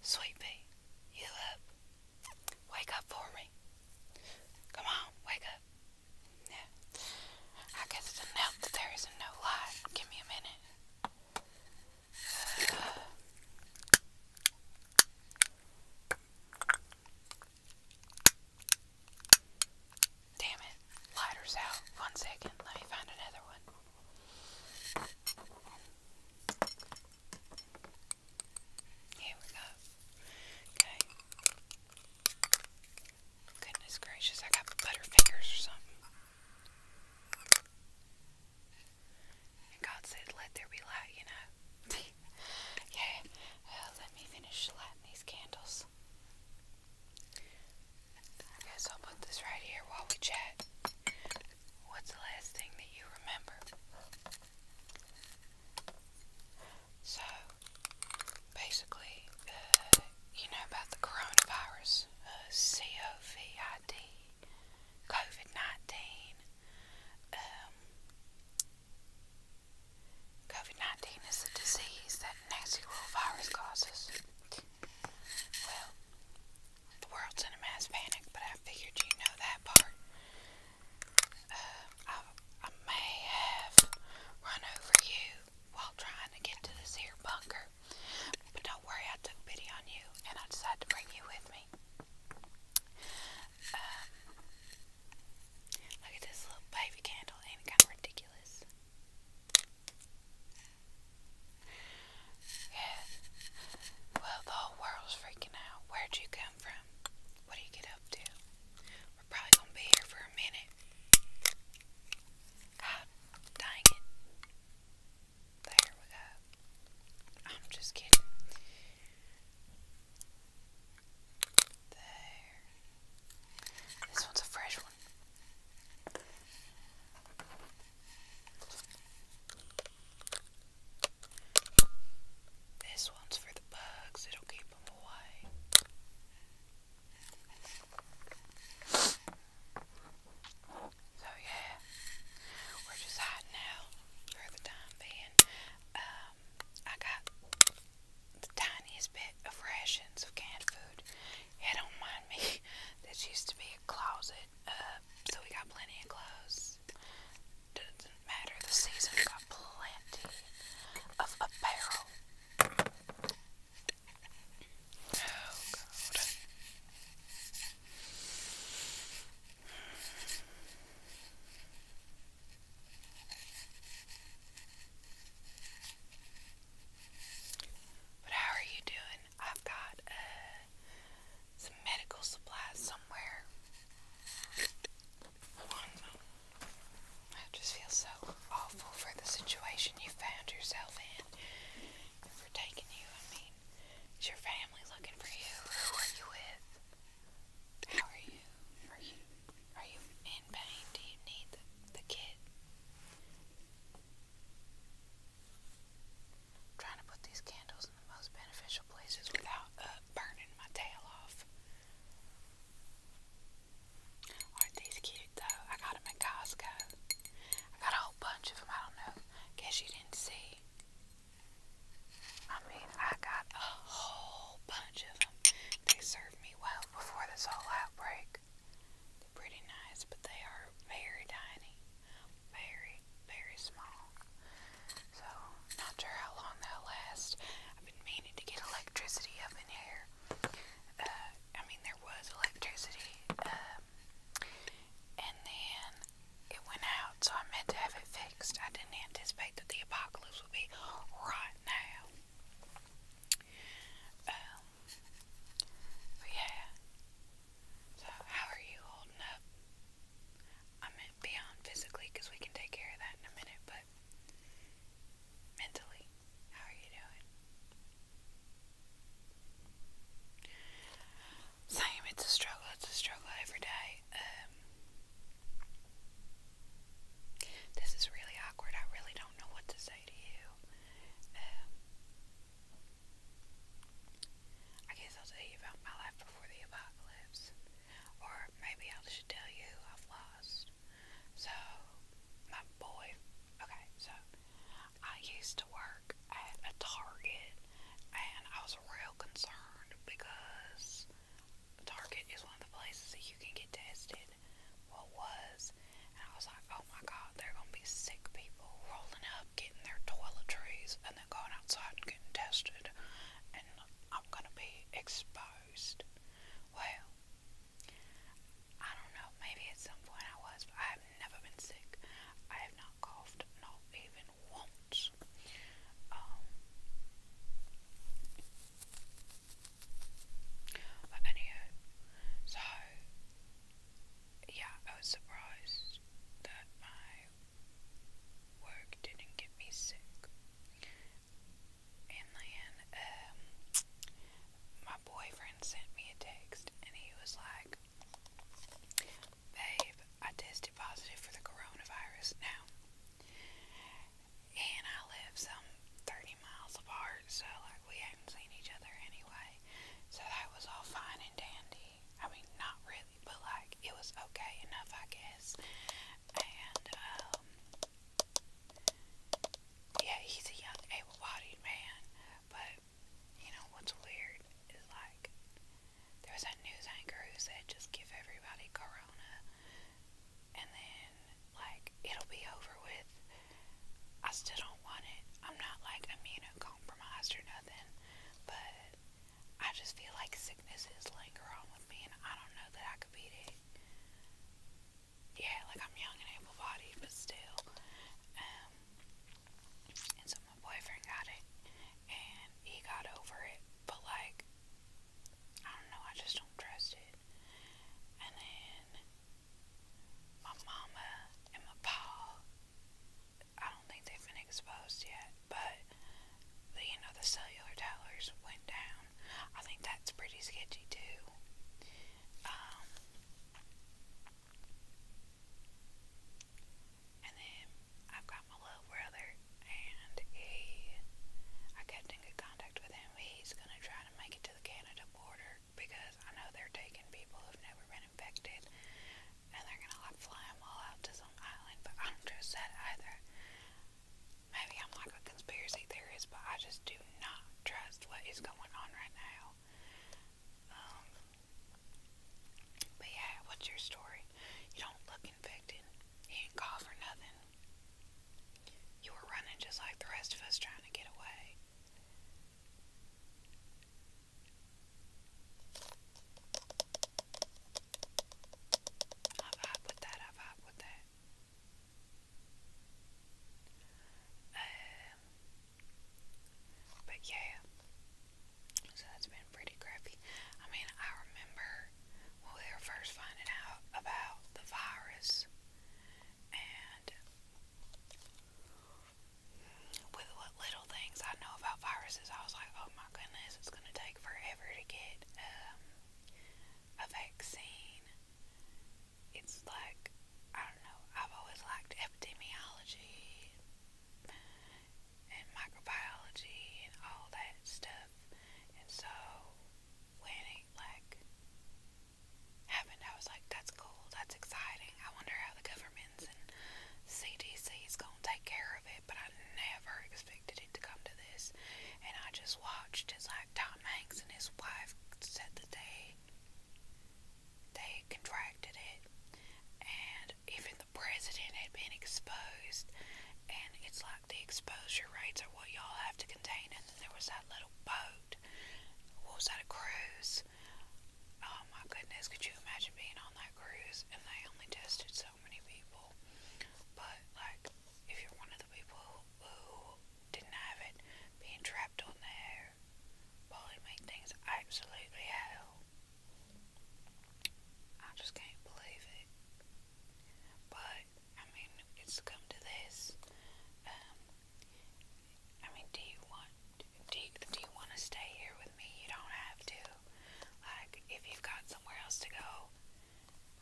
Sweetie, you up? Wake up for me. Come on, wake up. Yeah. I guess it's enough that there no light. Give me a minute. Damn it. Lighter's out. One second. Let me find another one. Here we go. Okay. Goodness gracious, I got butterfingers or something. God said, let there be light, you know. yeah. let me finish lighting these candles. Okay, so I'll put this right here while we chat. What's the last thing that you remember? So, basically, uh, you know about the coronavirus, uh, COVID, COVID 19. Um, COVID 19 is a disease that nasty little virus causes. The world's in a mass panic, but I figured you know that part. Uh, I, may have run over you while trying to get to this here bunker, but don't worry, I took pity on you and I decided to bring you with me. Um, look at this little baby candle, ain't it kind of ridiculous? Yeah. Well, the whole world's freaking out. Where'd you come from? What do you get up to? We're probably gonna be here for a minute. God ah, dang it. There we go. I'm just kidding. There. This one's a fresh one. This one's for the bugs, it'll keep them away. So, yeah, we're just hiding out for the time being. Um, I got the tiniest bit of rations of canned food. Yeah, don't mind me. This used to be a closet it up, so we got plenty of clothes. Doesn't matter the season, got plenty of apparel. Oh god. But how are you doing? I've got some medical supplies somewhere. I just feel so awful for the situation you found yourself in for taking you. I mean, is your family looking for you? Who are you with? How are you? Are you are you in pain? Do you need the, the kit? trying to put these candles in the most beneficial places without uh, burning my tail off. Aren't these cute though? I got them at Costco. I got a whole bunch of them. I don't know. Guess you didn't see. I mean, I got a whole bunch of them. They served me well before this whole outbreak. They're pretty nice, but they are very tiny very, very small. So, not sure how long that'll last. I've been meaning to get electricity up in here. Uh, I mean, there was electricity, um, and then it went out, so I meant to have it fixed. I didn't anticipate that the apocalypse would be right now. Um, yeah. So, how are you holding up? I meant beyond physically because we can take care of that in a minute, but mentally, how are you doing? Same, it's a struggle, it's a struggle every day. Um, this is really awkward, I really don't know what to say to you. Um, I guess I'll tell you about my life before the apocalypse. Or maybe I should tell you who I've lost. So, my boy, okay, so I used to work at a Target and I was real concerned because Target is one of the places that you can get tested. What well, was, and I was like, oh my god, there are gonna be sick people rolling up, getting their toiletries, and then going outside and getting tested and I'm gonna be exposed. Well, I don't know, maybe at some point I was, but I have never been sick. I have not coughed, not even once. Um, but anyway, so yeah, I was surprised that my Work didn't get me sick. And then um, my boyfriend sent me a text and he was like, Babe, I tested positive for the coronavirus now. And I live some 30 miles apart, so like we hadn't seen each other anyway. So that was all fine and dandy. I mean, not really but like it was okay enough, I guess. And um, yeah, he's a young, able-bodied man, but you know what's weird is like there was that news anchor who said just give everybody corona, and then like it'll be over with. I still don't want it. I'm not like immunocompromised or nothing, but I just feel like sickness is lingering on with me, and I don't know that I could beat it. Yeah, like I'm young and able bodied, but still. Um, and so my boyfriend got it, and he got over it, but like, I don't know, I just don't trust it. And then my mama and my pa I don't think they've been exposed yet, but you know the cellular towers went down. I think that's pretty sketchy too. Um, and then I've got my little brother, and he I kept in contact with him. He's gonna try to make it to the Canada border because I know they're taking people who've never been infected and they're gonna like fly them all out to some island, but I don't trust that either. Maybe I'm like a conspiracy theorist, but I just do not trust what is going on right now. Um, but yeah, what's your story? You don't look infected. You didn't cough or nothing. You were running just like the rest of us trying to get away. I vibe with that, I vibe with that. Um, but yeah, so that's been pretty crappy. I mean, I remember when we were first finding out about the virus, and with what little things I know about viruses, I was like, oh Oh my goodness, it's going to take forever to get um, a vaccine. It's like, I don't know, I've always liked epidemiology and microbiology and all that stuff. And so when it like happened, I was like, that's cool, that's exciting. I wonder how the governments and CDC is going to take care of it, but I never expected it it to come to this, and I just watched as like Tom Hanks and his wife said that they they contracted it, and even the president had been exposed, and it's like the exposure rates are what y'all have to contain. And then there was that little boat. What was that a cruise? Oh my goodness, could you imagine being on that cruise? And they only tested so so many people. But like, if you're one of the people who didn't have it, being trapped on the probably made things absolutely hell. I just can't believe it. But I mean, it's come to this. Um, I mean, do you want do do you want to stay here with me? You don't have to. Like, if you've got somewhere else to go,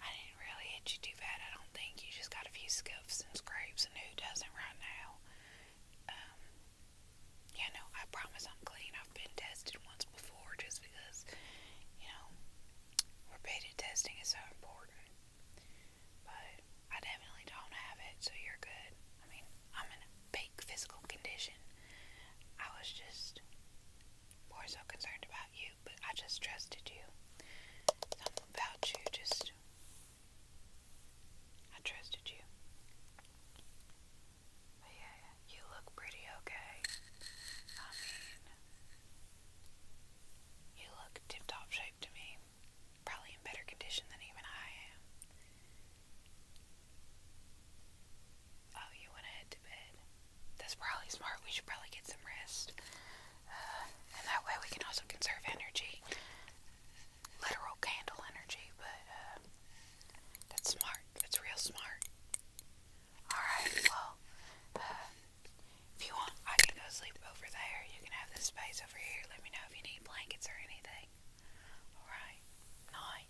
I didn't really hit you too bad, I don't think. You just got a few scuffs and scrapes, and who doesn't right now? Um, yeah, I promise I'm clean. I've been tested once before just because, you know, repeated testing is so important. But I definitely don't have it, so you're good. I mean, I'm in a peak physical condition. I was just more so concerned about you, but I just trusted you. about you just. I trusted you. But yeah, you look pretty okay. I mean, you look tip top shape to me. Probably in better condition than even I am. Oh, you want to head to bed? That's probably smart. We should probably get some rest. Uh, and that way we can also conserve energy. Literal candle energy, but uh, that's smart. That's real smart. Alright, well, uh, if you want, I can go sleep over there. You can have this space over here. Let me know if you need blankets or anything. Alright, night.